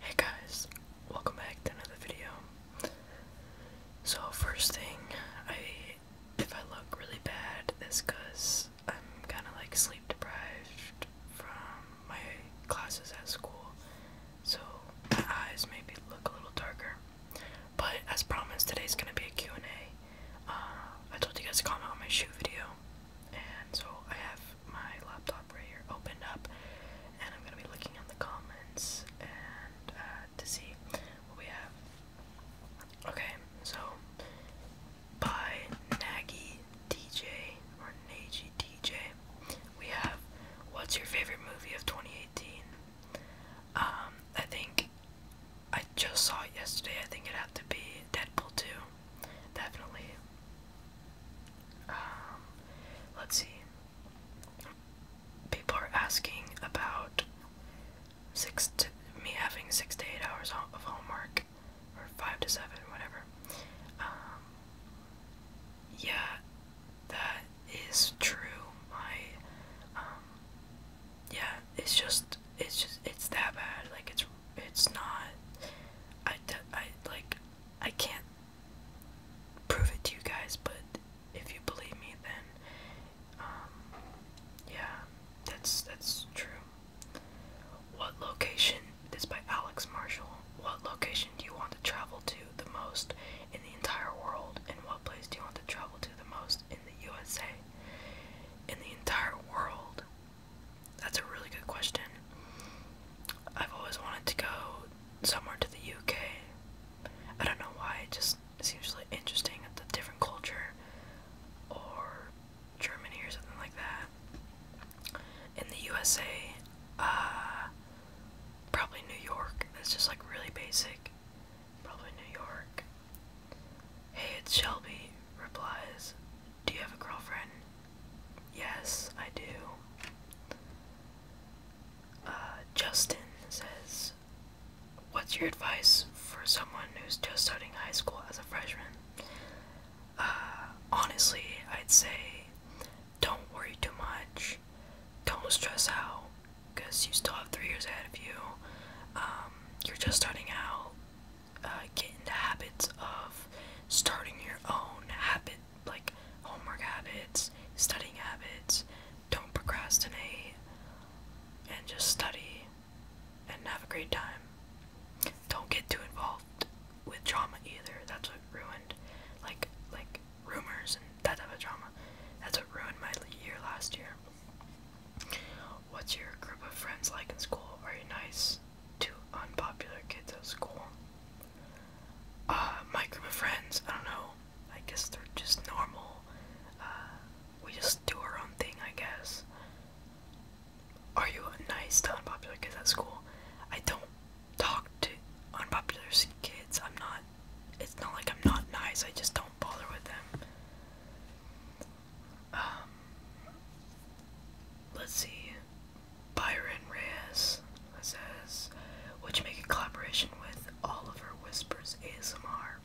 Hey guys, welcome back to another video. So first thing, I if I look really bad, it's cause I'm kind of like sleep deprived from my classes at school, so my eyes maybe look a little darker. But as promised, today is gonna be a Q&A. Uh, I told you guys to comment on my shoe video, and so I have my laptop right here opened up, and I'm gonna be looking at the comments and uh, to see what we have. Okay, so by Nagy DJ or Nagy DJ, we have what's your favorite movie of 2018? Um, I think I just saw it yesterday. I think it'd have to be Deadpool 2. Definitely. Um, let's see. People are asking about six to, me having six to eight hours of homework, or five to seven, whatever. Um, yeah, that is true. My, um, yeah, it's just, it's just, it's that bad. Like, it's, it's not, I, I, like, I can't prove it to you guys, but if you believe me, then, um, yeah, that's, that's true. What location, this by Alex Marshall, what location do you want to travel to the most in the entire world, in what place do you want to travel to the most in the USA? In the entire world? That's a really good question. I've always wanted to go somewhere to the UK. I don't know why, it just seems really interesting at the different culture or Germany or something like that. In the USA, uh, probably New York. That's just like really basic. Probably New York. Hey, it's Shelby, replies. Do you have a girlfriend? Yes, I do. Uh, Justin says, What's your advice for someone who's just starting high school as a freshman? Uh, honestly, I'd say don't worry too much. Don't stress out because you still have three years ahead of you. Um, you're just starting out. Uh, get into habits of starting your own habits, like homework habits, studying habits. Don't procrastinate and just study and have a great time. Don't get too involved with drama either. That's what ruined, like, like rumors and that type of drama. That's what ruined my year last year. What's your group of friends like in school? Are you nice to unpopular kids at school? Uh, my group of friends, I don't know. I guess they're just normal. Uh, we just do our own thing, I guess. Are you nice to unpopular kids at school? I don't talk to unpopular kids. I'm not. It's not like I'm not nice. I just don't bother with them. Um, let's see. Byron Reyes says, "Would you make a collaboration with Oliver Whispers ASMR?"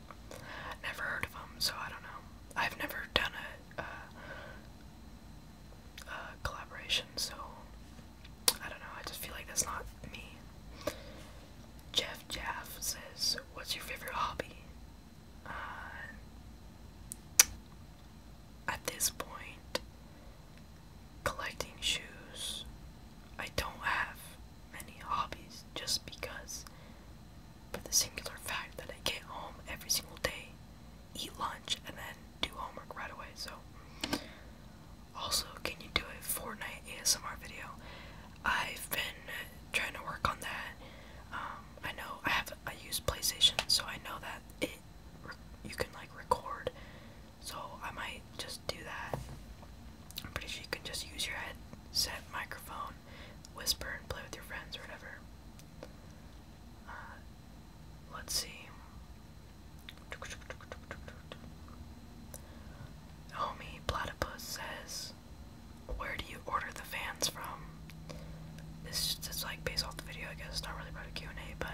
Never heard of him, so I don't know. I've never done it. Uh, collaboration, so I don't know, I just feel like that's not me. Jeff Jaff says, What's your favorite hobby? Uh, at this point, collecting shoes. I don't have many hobbies just because, for the singular fact that I get home every single day, eat lunch, and then do homework right away. So, also, can you do a Fortnite ASMR video? I've been trying to work on that. Um, I know I have I use PlayStation, so I know that it you can like record. So I might just do that. I'm pretty sure you can just use your headset microphone, whisper and play with your friends or whatever. Uh, let's see. Homie Platypus says, Where do you order the fans from? This is like based off the video, I guess. It's not really part of Q&A, but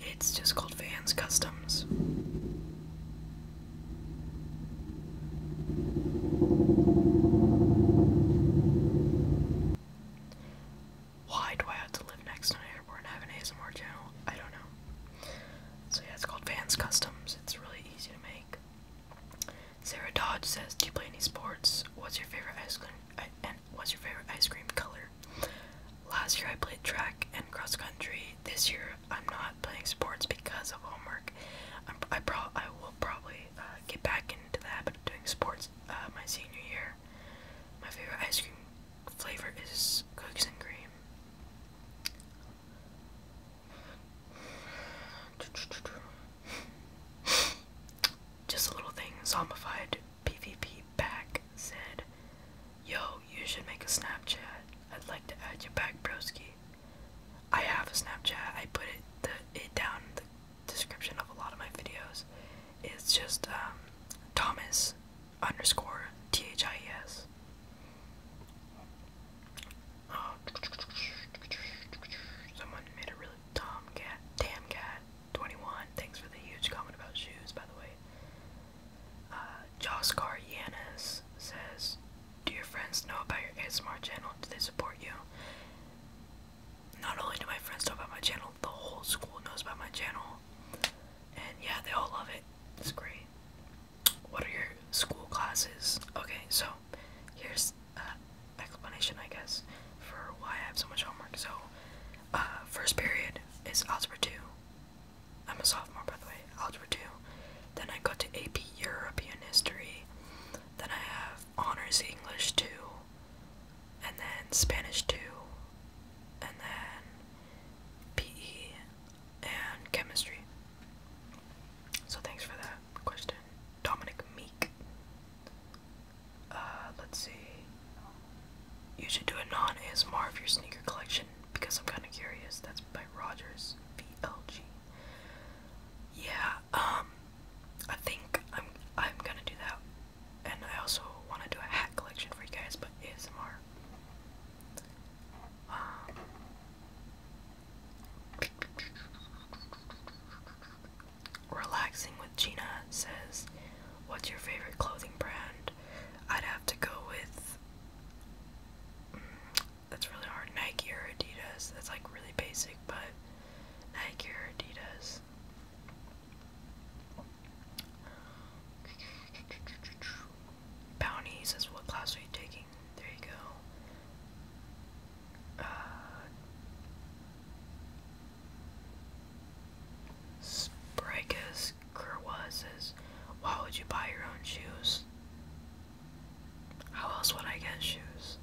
it's just called Fans Customs. Why do I have to live next to an airport and have an ASMR channel? I don't know. So yeah, it's called Vans Customs. It's really easy to make. Sarah Dodge says, "Do you play any sports? What's your favorite ice cream? Uh, and what's your favorite ice cream color?" Last year I played track and cross country. This year I'm not playing sports because of homework. i I pro I will probably uh, get back into the habit of doing sports uh, my senior year my favorite ice cream flavor is cookies and cream. Just a little thing, zombified PvP back said, Yo, you should make a Snapchat. I'd like to add you back, broski. I have a Snapchat. I put it the it down description of a lot of my videos it's just um, Thomas underscore T H I E S. Oh. Someone made a really dumb cat. Damn cat. 21. Thanks for the huge comment about shoes, by the way. Uh, Joscar Yanis says, Do your friends know about your ASMR channel? Do they support you? not only do my friends know about my channel, the whole school knows about my channel. And yeah, they all love it. It's great. What are your school classes? Okay, so here's uh, explanation, I guess, for why I have so much homework. So, uh, first period is algebra 2. I'm a sophomore, by the way. Algebra 2. Then I go to AP European History. Then I have Honors English 2 and then Spanish 2, and then PE and chemistry. So thanks for that question. Dominic Meek. Uh, let's see. You should do a non ASMR of your sneaker collection because I'm kind of curious. That's by Rogers VLG. Yeah, um, I think I'm I'm gonna do that and I also want to do a hat collection for you guys, but ASMR. Um, Relaxing with Gina says, What's your favorite clothing brand? I'd have to go with. Mm, that's really hard. Nike or Adidas. That's like really basic, but Nike or Adidas this. Bounties is what class are you taking? There you go. Uh, Sprikus says, Why would you buy your own shoes? How else would I get shoes?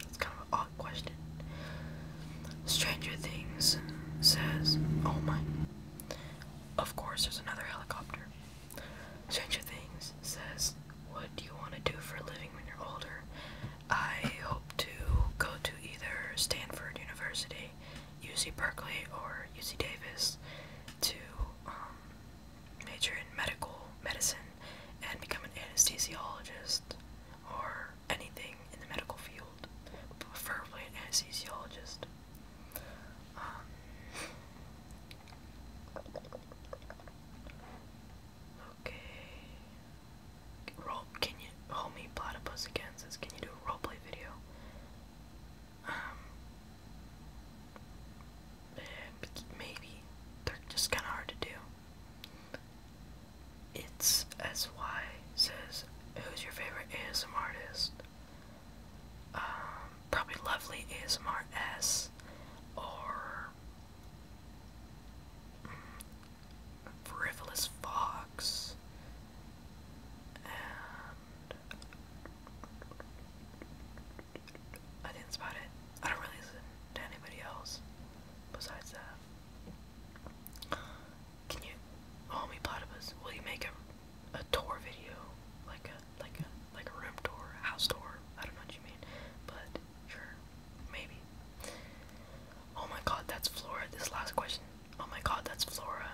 That's kind of an odd question. Stranger Things says, oh my. Of course, there's another helicopter. Stranger Things says, what do you want to do for a living when you're older? I hope to go to either Stanford University, UC Berkeley, or UC Davis to um, major in medical medicine and become an anesthesiologist or anything in the medical field, preferably an anesthesiologist. Um, okay. Roll. Can you homie platypus again? can you do a roleplay video? Um. Eh, maybe they're just kind of hard to do. It's SY says, Who's your favorite ASM artist? Um, probably Lovely ASMR S or mm, Frivolous Fox I didn't spot it. I don't really listen to anybody else besides that. Can you homie oh, platypus, will you make a a tour video? Like a like a like a room tour, house tour, I don't know what you mean. But sure, maybe. Oh my god, that's Flora. This last question. Oh my god, that's Flora.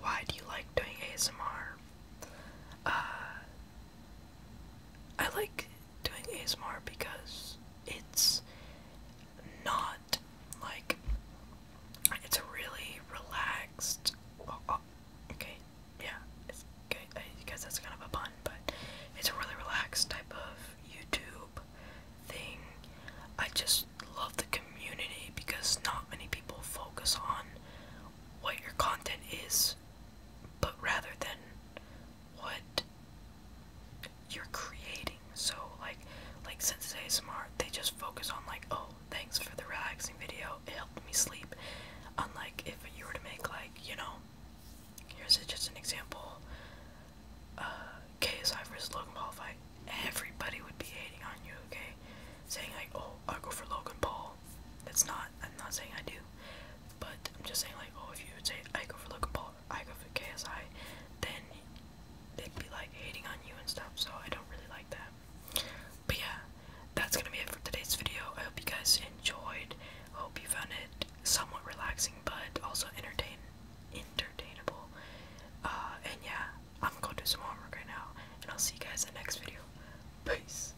Why do you like doing ASMR? Uh I like doing ASMR because it's not like it's a really relaxed. Oh, oh, okay, yeah, it's, okay, I guess that's kind of a pun, but it's a really relaxed type of YouTube thing. I just love the community because not many people focus on what your content is, but rather than what you're creating. So like like since smart, they just focus on like, oh, thanks for the relaxing video. It helped me sleep. Unlike if you were to make like, you know, here's just an example. Uh, KSI versus Logan Paul fight. Everybody would be hating on you, okay? Saying like, oh, I go for Logan Paul. That's not. I'm not saying I do, but I'm just saying, like, oh, if you would say I go for like Paul, I go for KSI, then they'd be like hating on you and stuff. So I don't really like that. But yeah, that's gonna be it for today's video. I hope you guys enjoyed. hope you found it somewhat relaxing, but also entertain, entertainable. Uh, and yeah, I'm gonna do some homework right now, and I'll see you guys in the next video. Peace.